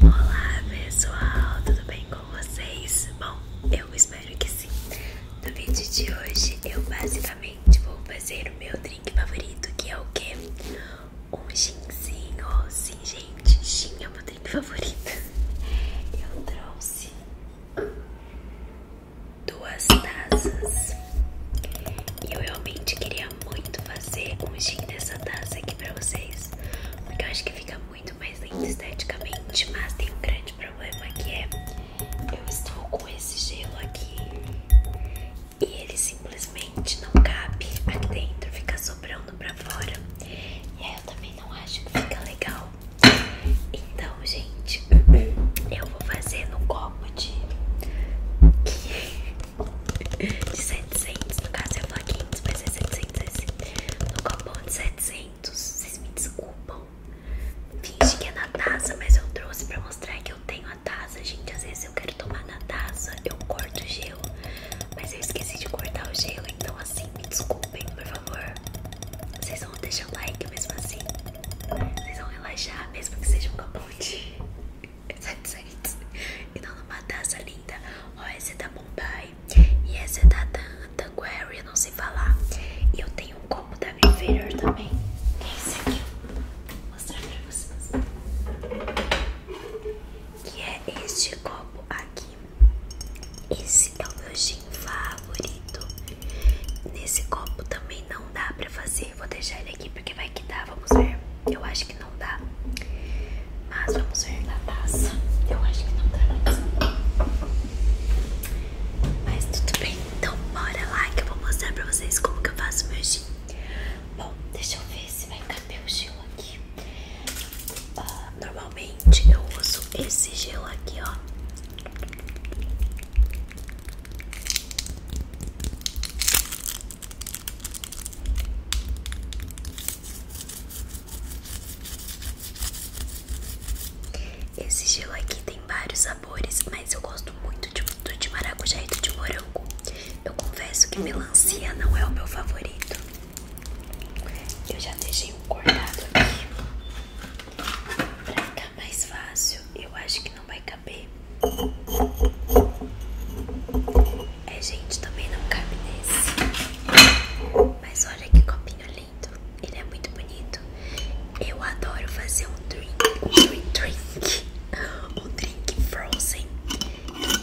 Olá pessoal, tudo bem com vocês? Bom, eu espero que sim. No vídeo de hoje eu basicamente vou fazer o meu drink favorito, que é o que? Um ginzinho. Oh, sim, gente, gin é o meu drink favorito. Eu trouxe duas taças e eu realmente queria muito fazer um gin dessa taça aqui pra vocês, porque eu acho que fica muito mais lindo esteticamente, mas tem um grande problema que é eu estou com esse gelo aqui e ele simplesmente não cabe aqui dentro, fica sobrando pra fora e aí eu também não acho que fica legal. Então, gente, eu vou fazer no copo de de 700. No caso eu falo 500, mas é 700 esse. No cupom de 700. Vocês me desculpam. Finge que é na taça, mas eu trouxe pra mostrar que eu tenho a taça. Gente, às vezes eu quero tomar na taça, eu corto o gelo. Mas eu esqueci de cortar o gelo, então assim, me desculpem, por favor. Vocês vão deixar o like mesmo assim. Vocês vão relaxar, mesmo que seja um cupom de e não numa taça linda. Ó, essa é da Bombay E essa é da Tanguary, não sei falar. E eu tenho um copo da Riviera também. Esse aqui. Vou mostrar pra vocês. Que é este copo aqui. Esse é o meu gin favorito. Nesse copo também não dá pra fazer. Vou deixar ele aqui porque vai vai que dá, vamos ver. Eu acho que não dá. Mas vamos ver na taça. Eu acho que não dá Mas tudo bem, então bora lá que eu vou mostrar pra vocês como que eu faço meu gin. Bom, deixa eu ver se vai caber o gelo aqui. Ah, normalmente eu uso esse gelo aqui, ó. Esse gelo aqui tem vários sabores, mas eu gosto muito de, do de maracujá e do de morango. Eu confesso que melancia não é o meu favorito. Eu já deixei um cortado aqui pra ficar mais fácil. Eu acho que não vai caber. É, gente, também não cabe nesse. Mas olha que copinho lindo. Ele é muito bonito. Eu adoro fazer um drink. Um drink. drink um drink frozen.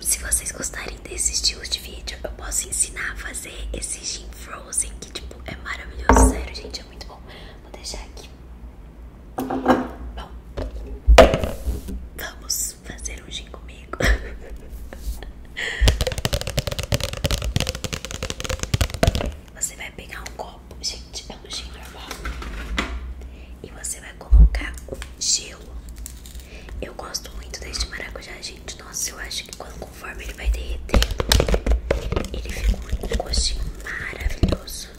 Se vocês gostarem desses estilo de vídeo, eu posso ensinar a fazer esse gin frozen. Que, tipo, é maravilhoso. Sério, gente, é muito bom. Vou deixar aqui. Bom, vamos fazer um gin comigo. Você vai pegar um copo, gente, é um gin normal. E você vai colocar um gelo. Eu gosto muito deste maracujá, gente. Nossa, eu acho que quando, conforme ele vai derretendo, ele fica um gostinho maravilhoso.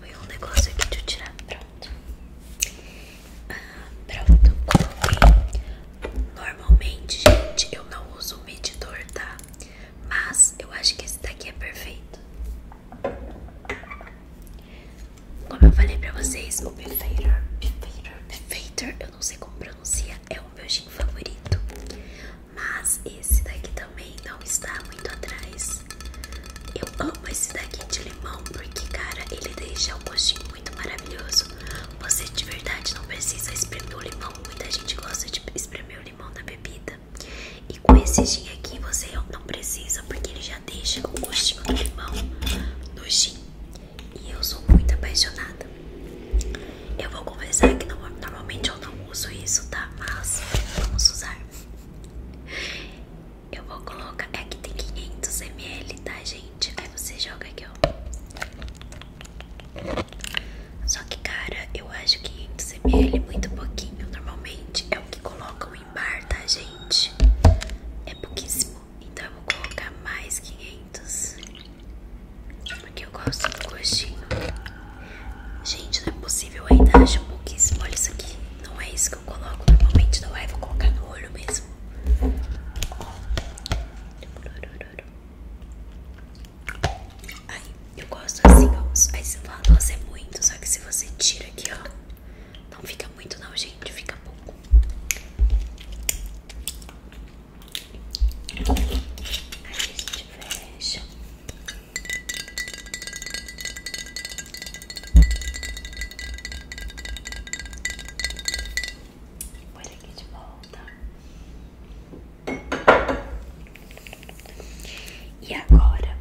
Foi um negócio aqui de eu tirar. Pronto. Ah, pronto. Coloquei. Normalmente, gente, eu não uso um medidor, tá? Mas eu acho que esse daqui é perfeito. Como eu falei pra vocês, o Befator, Befator, Befator, eu não sei como pronuncia, é o meu gin favorito. Mas esse daqui também não está muito atrás. Eu amo esse daqui de limão porque, cara, ele deixa um gostinho muito maravilhoso. Você de verdade não precisa espremer o limão. Muita gente gosta de espremer o limão na bebida. E com esse gin aqui você não precisa porque ele já deixa o gostinho do limão no gin. E eu sou muito apaixonada. Eu vou confessar que normalmente eu não uso isso, tá? Mas vamos usar. Eu vou colocar. É que tem 500 ml, tá, gente? Aí você joga aqui, ó. Só que, cara, eu acho 500 ml muito pouquinho. Normalmente é o que colocam em bar, tá, gente? É pouquíssimo. Então eu vou colocar mais 500. Porque eu gosto do gostinho. Gente, não é possível, eu ainda acho pouquíssimo. Olha isso aqui. Não é isso que eu coloco normalmente no ar. É? Vou colocar no olho mesmo. Aí eu gosto assim, ó. Aí você fala, nossa, é muito. Só que se você tira aqui, ó. Não fica muito não, gente. Fica pouco a gente fecha. Põe aqui de volta. E agora,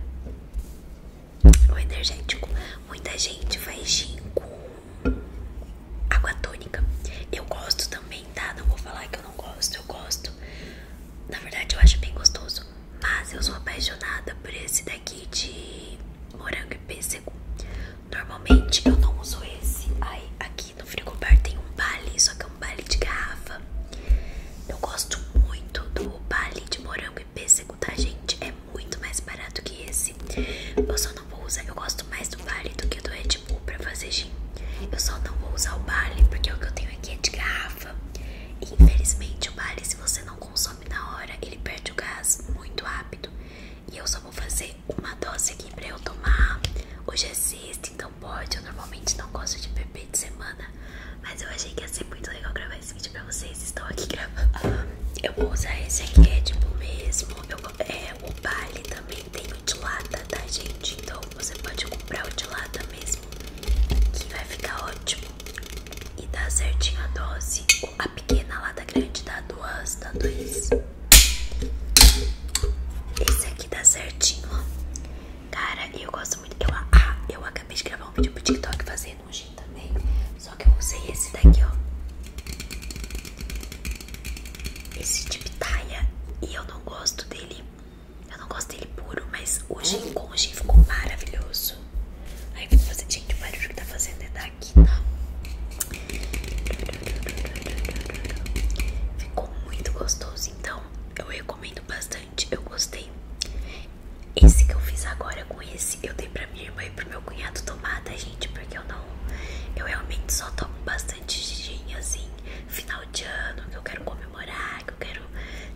o energético. Muita gente faz gin água tônica. Eu gosto também, tá? Não vou falar que eu não gosto, eu gosto. Na verdade, eu acho bem gostoso. Mas eu sou apaixonada por esse daqui de morango e pêssego. Normalmente eu não uso esse. Aí, aqui no frigobar tem um bale, só que é um bale de garrafa. Eu gosto muito do bale de morango e pêssego, tá, gente? É muito mais barato que esse. Eu só vou usar. Eu gosto mais do Vale do que do Red Bull pra fazer gin. Eu só não vou usar o Vale porque o que eu tenho aqui é de garrafa. infelizmente, o Vale, se você não consome na hora, ele perde o gás muito rápido. E eu só vou fazer uma dose aqui pra eu tomar. Hoje é sexta, então pode. Eu normalmente não gosto de beber de semana. Mas eu achei que ia ser muito legal gravar esse vídeo pra vocês. Estão aqui gravando. Eu vou usar esse aqui, é tipo mesmo. Eu é, o Bali também tem o de lata, tá gente? Então você pode comprar o de lata mesmo, que vai ficar ótimo. E dá certinho a dose, a pequena lata grande dá duas, dá dois. Esse aqui dá certinho, ó. Cara, eu gosto muito. Eu, ah, eu acabei de gravar um vídeo pro TikTok fazendo um gin também. Só que eu usei esse daqui, ó. Esse de pitaia e eu não gosto dele. Eu não gosto dele puro, mas o gin hum. com o gin ficou maravilhoso. Aí vou fazer, gente, o barulho que tá fazendo é daqui, tá? Ficou muito gostoso, então eu recomendo bastante. Eu gostei. Esse que eu fiz agora com esse, eu dei pra minha irmã e pro meu cunhado tomada tá, gente? Porque eu não eu realmente só tomo bastante gin, assim, final de ano, que eu quero comemorar, que eu quero...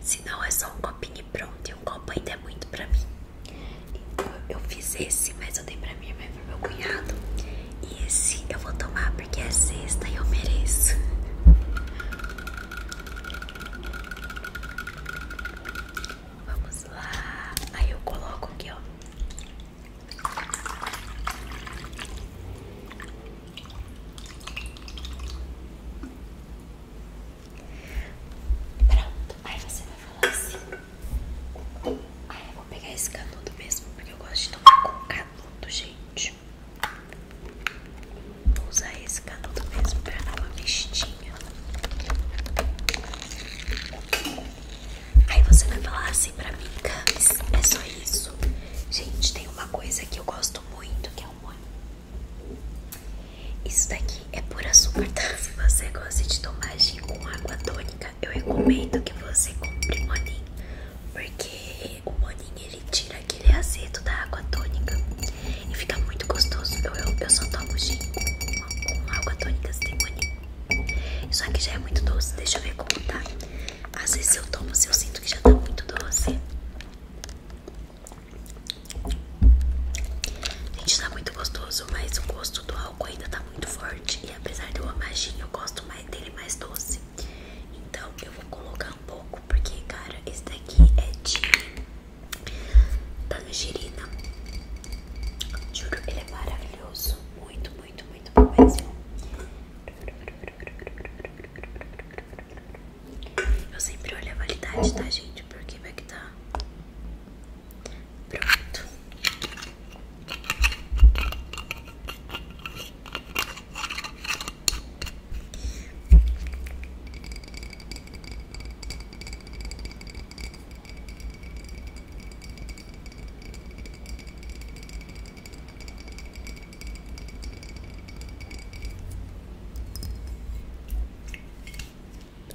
Senão é só um copinho pronto, e um copo ainda é muito pra mim. Então eu fiz esse, mas eu dei pra minha mãe e pro meu cunhado. E esse eu vou tomar porque é sexta e eu mereço. Vamos lá. Aí eu coloco aqui, ó. Pronto, aí você vai falar assim. Aí eu vou pegar esse canudo mesmo, porque eu gosto de tomar com canudo, gente. Vou usar esse canudo mesmo pra dar uma vestinha. Aí você vai falar assim pra mim, Camis, é só isso. Gente, tem uma coisa que eu gosto muito, que é o monin. Isso daqui é puro açúcar, tá? Se você gosta de tomar gin com água tônica, eu recomendo que você compre monin, Porque o monin ele tira aquele azedo da água tônica. E fica muito gostoso. Eu, eu, eu só tomo gin com, água tônica se tem moninho. Isso aqui já é muito doce, deixa eu ver como tá. Às vezes eu tomo se assim, eu sinto que já tá muito doce. Gente, tá muito gostoso, mas o gosto do álcool ainda tá muito forte. E apesar de eu amar eu gosto mais dele mais doce. Então eu vou colocar um pouco, porque, cara, esse daqui é de Tangerina. Tá Juro, ele é maravilhoso. Muito, muito, muito bom mesmo. Eu sempre olho a validade, tá, gente? Porque vai que tá. Pronto.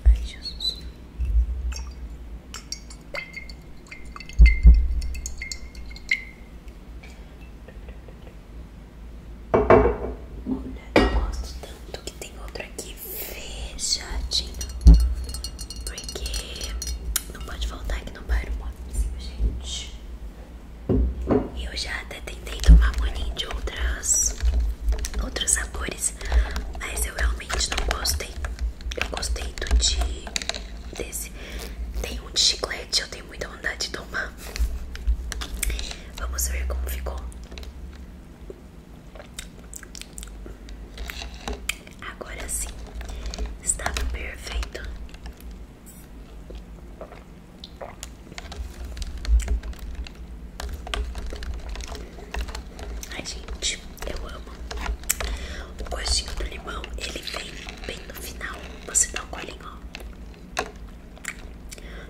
Ai, Jesus. Olha, gosto tanto que tem outro aqui fechadinho. Porque não pode faltar que não para o monozinho, gente. Eu já até tentei tomar moninho de outras, outros sabores, mas eu realmente não gostei. Eu gostei do de desse. Tem um de chiclete, eu tenho muita vontade de tomar. Vamos ver como ficou. Agora sim, estava perfeito. Ai, gente, eu amo. O gostinho do limão, ele vem bem no final. Você dá um colinho, ó.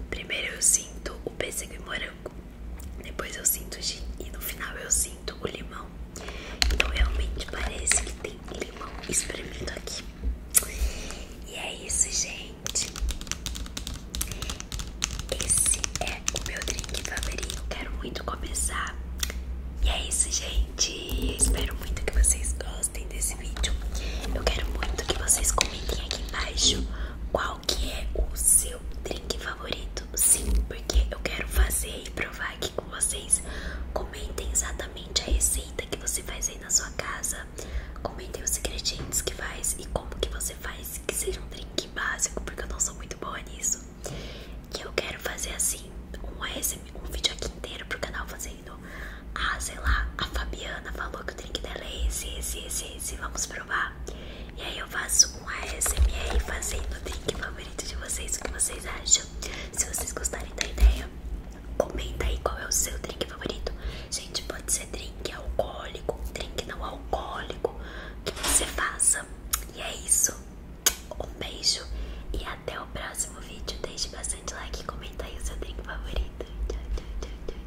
Primeiro eu sinto o pêssego e depois eu sinto gin e no final eu sinto o limão. Então realmente parece que tem limão espremido aqui. E é isso, gente. Esse é o meu drink favorito. Quero muito começar. E é isso, gente. espero muito que vocês gostem desse vídeo. Eu quero muito que vocês comentem aqui embaixo qual qual que é o seu drink favorito? Sim, porque eu quero fazer e provar aqui com vocês. Comentem exatamente a receita que você faz aí na sua casa. Comentem os ingredientes que faz e como que você faz que seja um drink básico, porque eu não sou muito boa nisso. Que eu quero fazer assim, um, SM, um vídeo aqui inteiro pro canal fazendo. Ah, sei lá, a Fabiana falou que o drink dela é esse, esse, esse, esse. Vamos provar. E aí eu faço com um ASMR fazendo o drink favorito de vocês. O que vocês acham? Se vocês gostarem da ideia, comenta aí qual é o seu drink favorito. Gente, pode ser drink alcoólico, drink não alcoólico, que você faça. E é isso. Um beijo e até o próximo vídeo. Deixe bastante like e comenta aí o seu drink favorito. tchau, tchau, tchau.